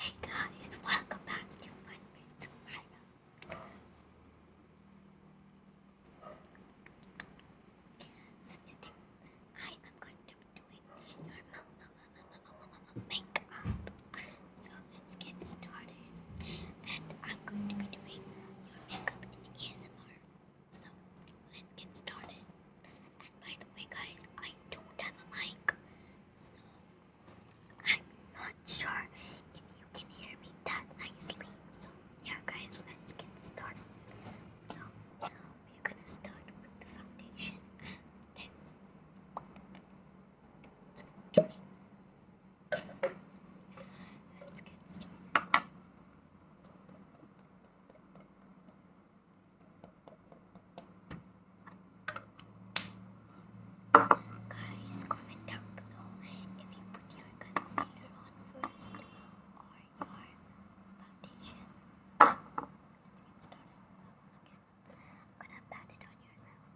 Hey guys, welcome back to Fun Minutes of So today I am going to be doing normal makeup. So let's get started. And I'm going to be doing your makeup in ASMR. So let's get started. And by the way, guys, I don't have a mic, so I'm not sure if you can hear me that nicely. So, yeah, guys, let's get started. So, we're gonna start with the foundation Let's get started. Guys, comment down below if you put your concealer on first or your foundation. Let's get started. I'm gonna pat it on yourself.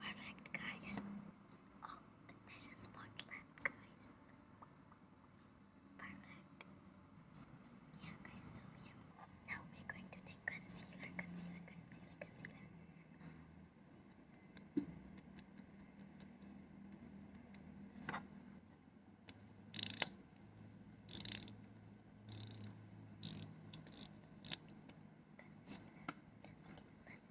Perfect, guys. Oh, there's a spot left, guys. Perfect. Yeah, guys, so yeah. Now we're going to take concealer, concealer, concealer, concealer. Concealer. Okay, let's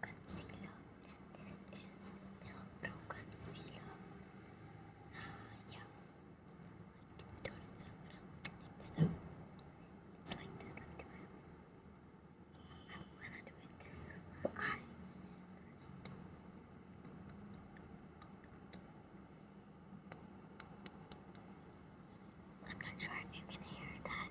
concealer. This is the Concealer. Uh, yeah. Let's get started. So I'm gonna take this out. It's like this. I'm gonna do it this eye i I'm not sure if you can hear that.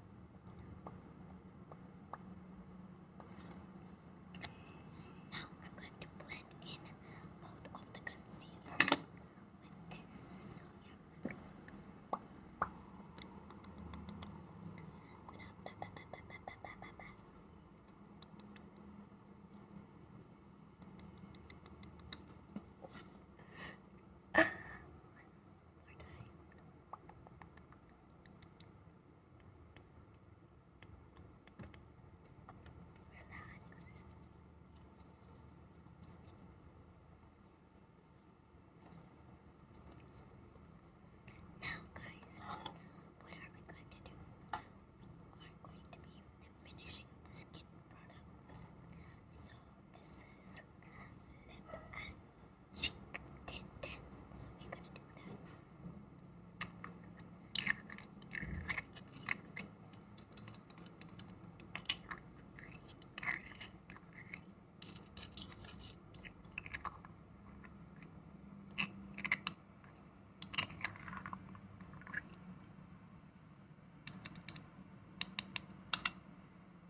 Now I'm going to blend in both of the concealers with this. So yeah. One more time. Relax. Now, guys, what are we going to do? We are going to be finishing the skin products. So, this is lip Shh. Ten, ten. So we're gonna do that.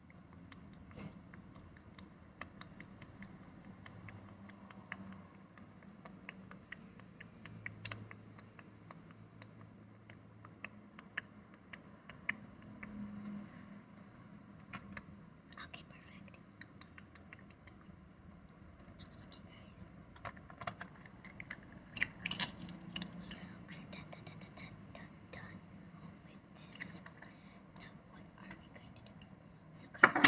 Okay, perfect. Okay, guys. Done, done, done, done, done, done. Oh my now, what are we going to do? So, that was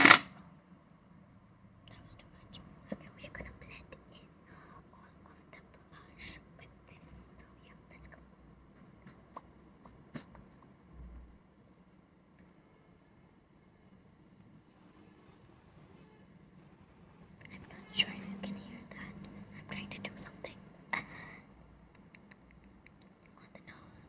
too much. Okay, we're gonna blend in all of the blush with this. So, yeah, let's go. I'm not sure if you can hear that. I'm trying to do something on the nose.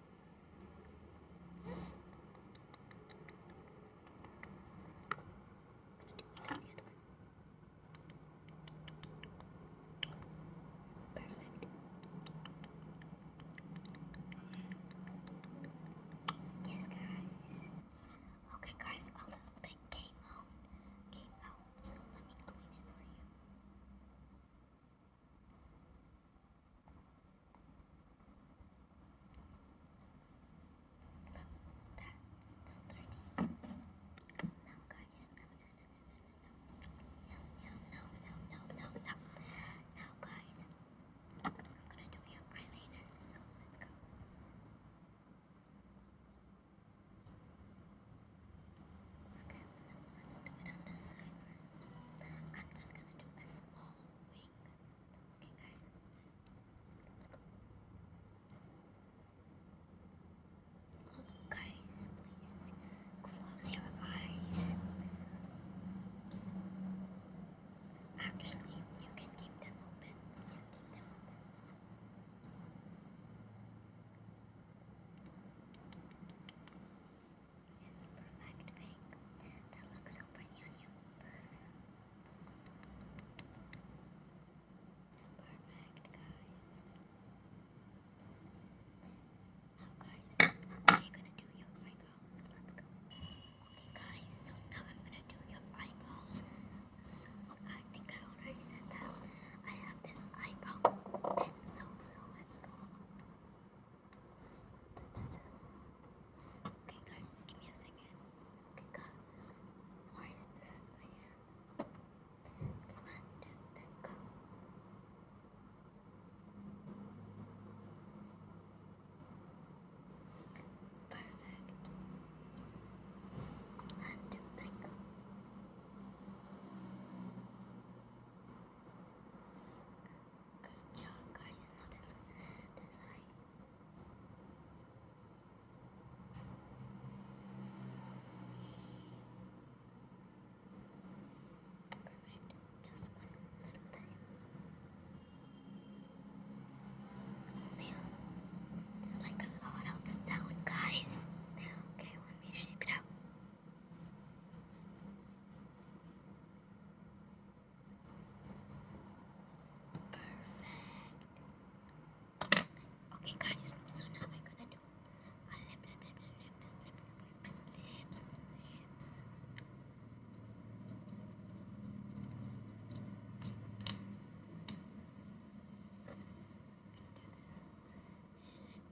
Perfect. Yes, guys. Okay, guys, a little bit came out, came out, so let me clean it for you. Look, that's still dirty. No, guys, no, no, no, no, no, no, no, no, no, no, no, no. Now, guys, I'm gonna do your eyeliner, so let's go. Okay, let's do it on this side first. I'm just gonna do a small wing. Okay, guys, let's go. guys, please close your eyes. Actually, you can keep them open. You can keep them open. Yes, perfect pink. That looks so pretty on you. Perfect, guys. Now, guys, we're gonna do your eyebrows. Let's go. Okay, guys, so now I'm gonna do your eyebrows. So, I think I already said that. I have this eyebrow pencil, so let's go. Okay, guys, give me a second. Okay, guys, why is this here? Okay, one, two, three, go. Perfect. go. One, two, three, go. One, two, three, go. go Good job, guys. Now this one, this eye. Perfect. Just one little time. Now, there's like a lot of sound, guys. Okay, let me shape it up. Perfect. Okay, guys. So now we're gonna do a lip, lip, lip, lip, lips, lips, lips.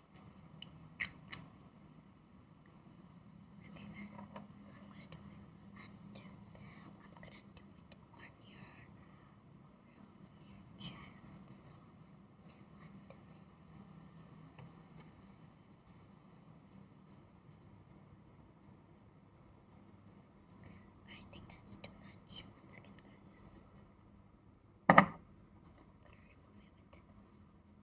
Okay, then I'm gonna do it until I'm gonna do it on your on your chest. So undo it. I think that's too much. Once again, guys. I'm gonna remove it with this.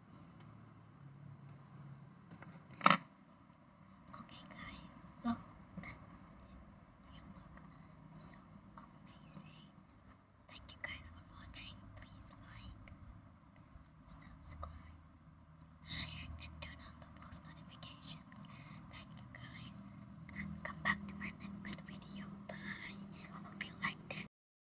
Okay, guys, so that's it. You look so amazing. Thank you guys for watching. Please like, subscribe, share, and turn on the post notifications. Thank you guys, come back to my next video. Bye. hope you liked it.